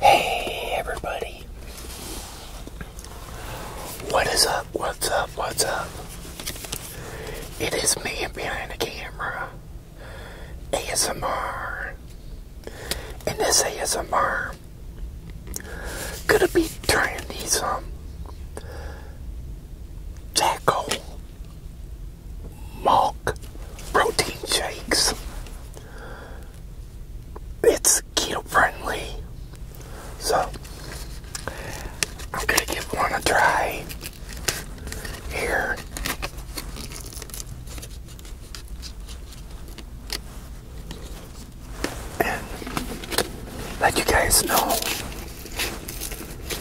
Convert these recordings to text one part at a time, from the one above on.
Hey everybody. What is up? What's up? What's up? It is me behind the camera. ASMR. And this ASMR gonna be trying these um tackle Milk protein shakes. It's keto friendly. So I'm gonna give one a try here. And let you guys know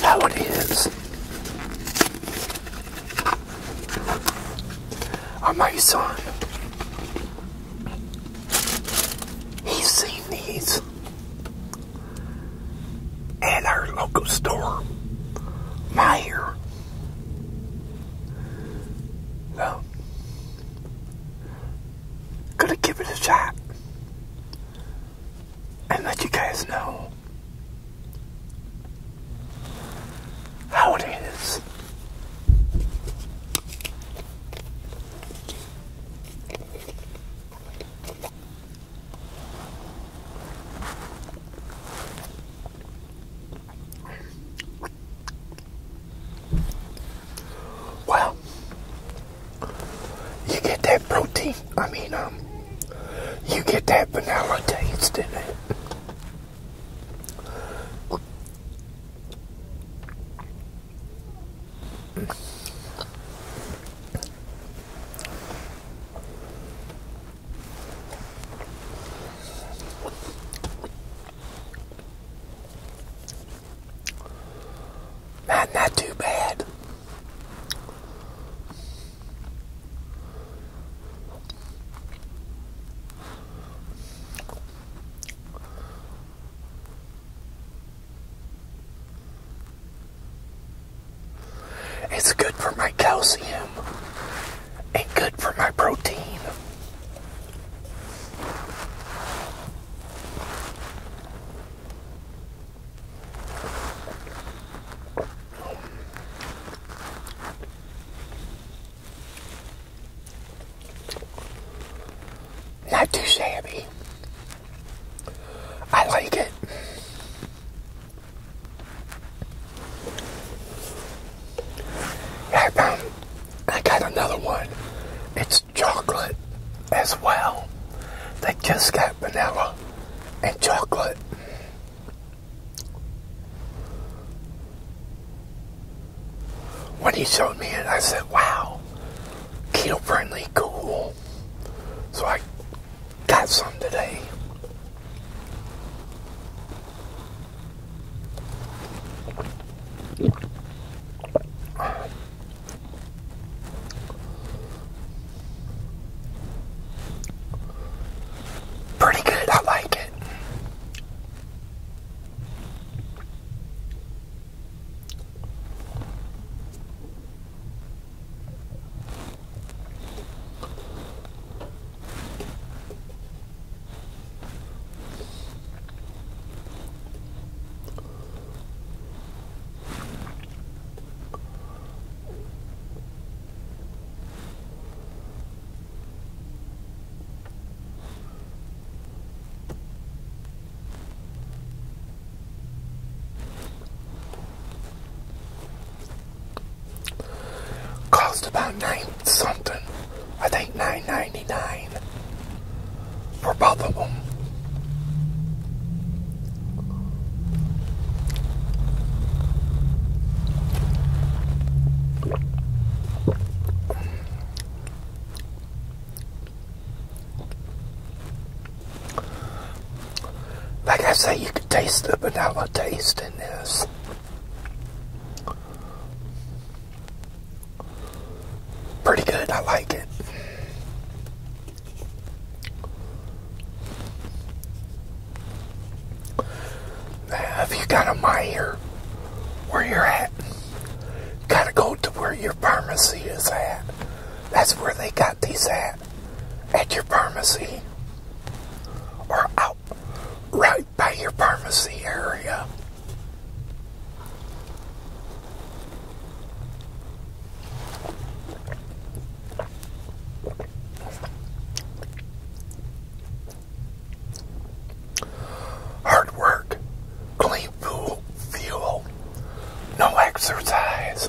that how is. Or my son, he's seen these at our local store, Meyer. So, gonna give it a shot and let you guys know how it is. Well, you get that protein I mean, um, you get that vanilla taste in it. Not, not too bad. It's good for my calcium and good for my protein. Not too shabby. I like it. I found I got another one. It's chocolate as well. They just got vanilla and chocolate. When he showed me it, I said, wow, keto friendly, cool. So I got some today. Pretty good, I like it. Cost about nine something. I think nine ninety for both of them. Like I say, you can taste the banana taste in this. Pretty good, I like it. Now, if you got a mire where you're at, gotta go to where your pharmacy is at. That's where they got these at, at your pharmacy, or out right by your pharmacy area. Hard work, clean fuel, fuel, no exercise.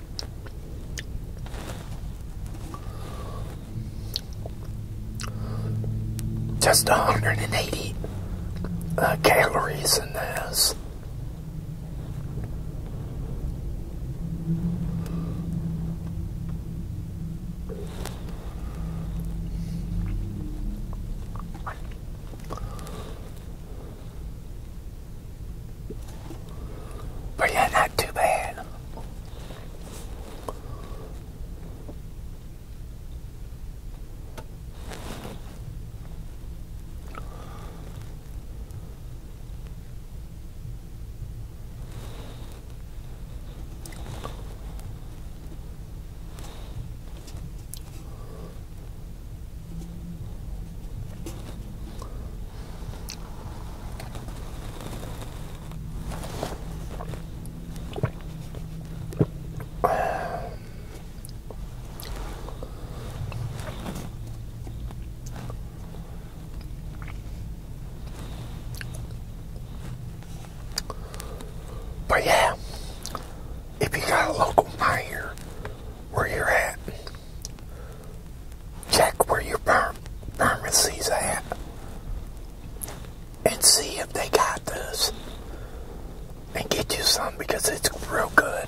Just 180 uh, calories in this. But yeah, not too bad. But yeah, if you got a local fire where you're at, check where your farm pharmacy's at and see if they got this and get you some because it's real good.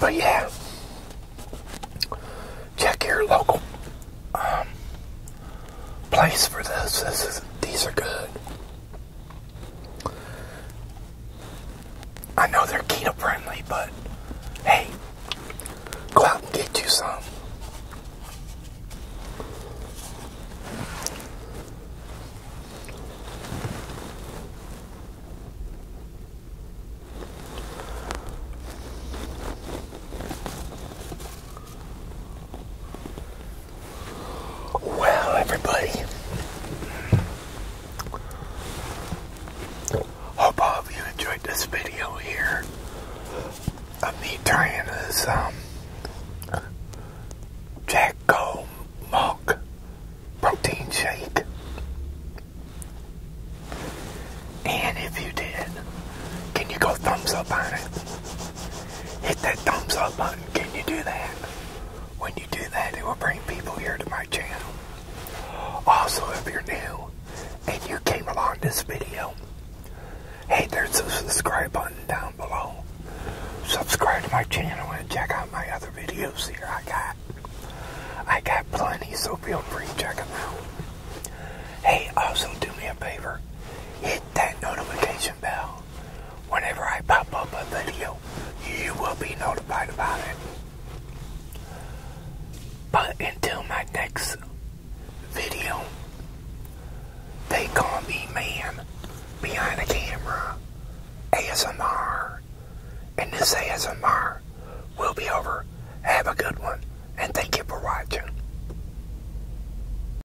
But yeah, check your local um, place for this. these are good. I know they're keto friendly, but hey, go out and get you some. Well, everybody, hope all of you enjoyed this video here of me trying this um, Jacko Milk Protein Shake. And if you did, can you go thumbs up on it? hit that thumbs up button. Can you do that? When you do that, it will bring people here to my channel. Also, if you're new and you came along this video, hey, there's a subscribe button down below. Subscribe to my channel and check out my other videos here I got. I got plenty, so feel free to check them out. Hey, also do me a favor. Hit that notification bell whenever I pop up a video, you will be notified about it. But until my next video, they call me man behind the camera, ASMR, and this ASMR will be over. Have a good one, and thank you for watching.